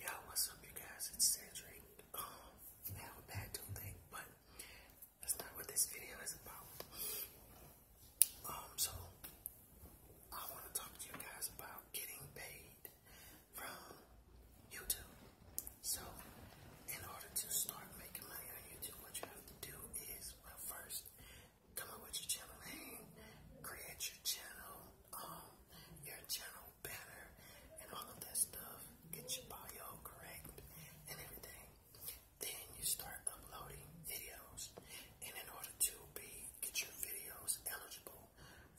Yo, what's up, you guys? It's Sandra. Um, I have a bad but that's not what this video is about. Um, so I want to talk to you guys about getting paid from YouTube. So, in order to start making money on YouTube, what you have to do is, well, first, come up with your channel name, create your channel, um, your channel banner, and all of that stuff. Get your bio correct and everything. Then you start uploading videos, and in order to be get your videos eligible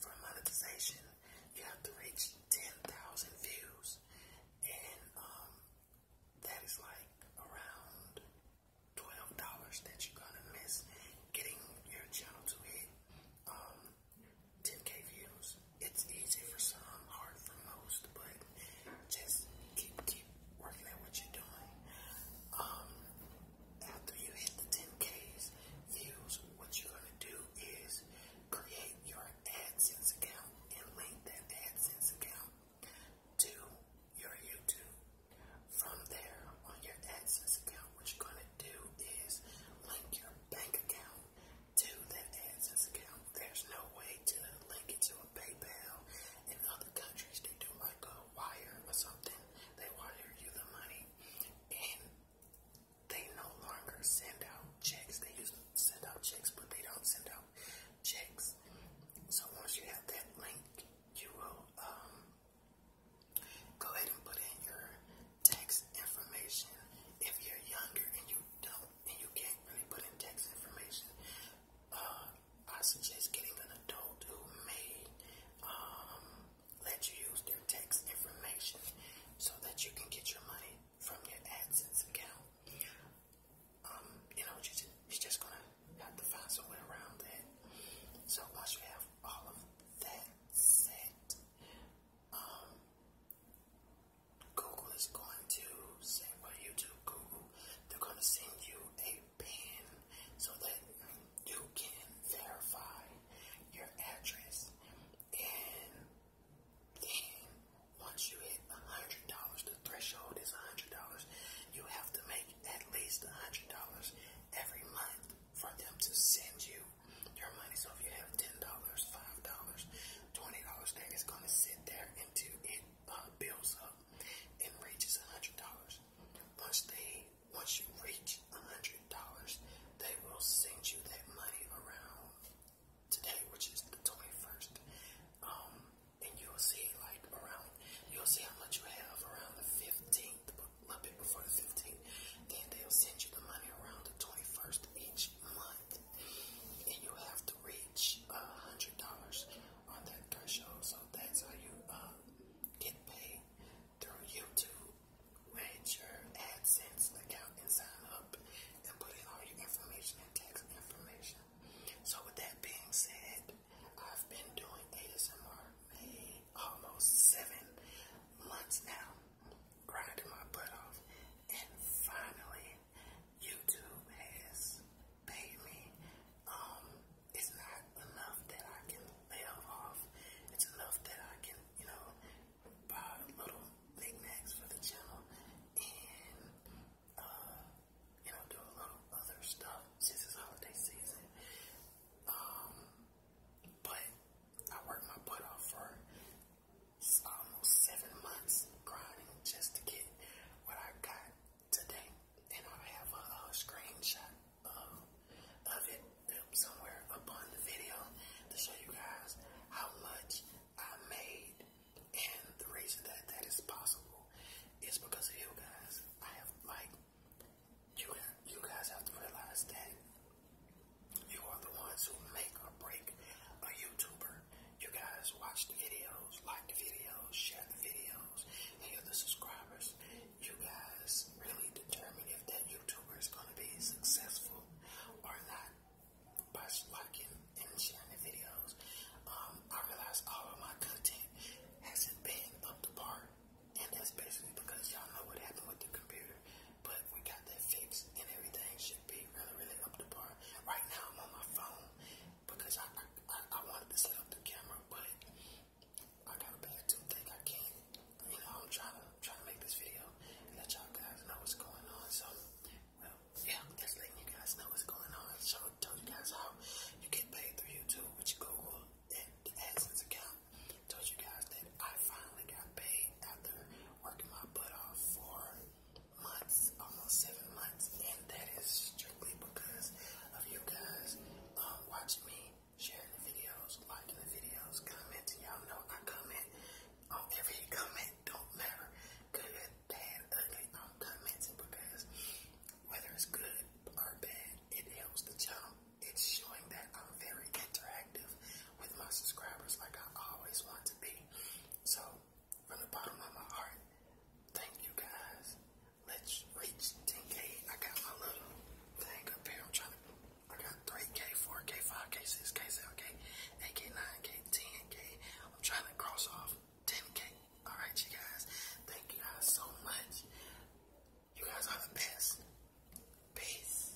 for monetization, you have to reach ten thousand views, and um, that is like around twelve dollars that you're gonna miss getting your channel to hit um, 10k views. It's easy for some, hard for most, but just keep keep working at what you're doing. Um, after you hit the 10k's views, what you're gonna do is create your AdSense account and link that AdSense account to your YouTube. From there, on your AdSense account, what you're going would do is link your bank account to that AdSense account. There's no way to link it to a PayPal. In other countries, they do like a wire or something. They wire you the money, and they no longer send out checks. They used to send out checks, but they don't send out checks. So once you have that link, you will um, Go ahead and put in your tax information. If you're younger and you don't and you can't really put in tax information, uh, I suggest getting an adult who may um, let you use their tax information so that you can get your money from your AdSense account. Um, you know, you you're just gonna have to find some way around that. So once you have all of that set, um, Google is going to send well YouTube Google they're going to send you a pin so that you can verify your address and then once you hit a hundred dollars the threshold is a hundred dollars you have to make at least a hundred dollars every month for them to send you your money. So if you have ten dollars, five dollars, twenty dollars, that is gonna sit there until it uh, builds up and reaches a hundred dollars. Once they once you reach a hundred dollars, they will send you that money around today, which is the twenty first. Um, and you'll see like around you'll see how much you have around the fifteenth, but a little bit before the 15th. Then they'll send you the money around the 21st each month. And you have to reach $100 on that threshold. So that's how you um, get paid through YouTube. Manage your AdSense account and sign up and put in all your information and tax information. So with that being said, I've been doing ASMR almost seven months now grinding my butt off, and finally, YouTube has paid me. Um, it's not enough that I can live off. It's enough that I can, you know, buy little knickknacks for the channel and, uh, you know, do a little other stuff since it's holiday season. Um, but I worked my butt off for almost seven months grinding just to get what I got today. And I have a, a screenshot of, of it um, somewhere up on the video to show you guys how much I made. And the reason that that is possible is because of you guys. I have like you. You guys have to realize that you are the ones who make or break a YouTuber. You guys watch the videos, like the videos, share the videos, and you're the subscribers. You guys really determine if that YouTuber is going to be successful or not by liking and sharing the videos. Um, I realize all of my content hasn't been up to par, and that's basically because y'all know what happened with the computer but we got that fixed and everything should be really, really up to par. Right now, I'm on my phone because I I, wanted to set up the camera, but I got a bad toothache. I can't, you know, I'm trying to, trying to make this video let y'all guys know what's going on. So, well, yeah, just letting you guys know what's going on. So, tell you guys how you get paid through YouTube, which Google and the AdSense account told you guys that I finally got paid after working my butt off for months, almost seven months, and that is strictly because of you guys um, watching me, sharing the videos, liking the videos, commenting. Y'all know I comment on every comment, don't matter, good, bad, ugly. I'm commenting because whether it's good or bad, it helps the job. It's showing that I'm very interactive with my subscribers like I always want to be. So, from the bottom of my heart, thank you guys. Let's reach 10K. I got my little thing up here. I'm trying to, I got 3K, 4K, 5K, 6K, 7K, 8K, 9K, 10K. I'm trying to cross off 10K. Alright, you guys. Thank you guys so much. You guys are the best. Peace.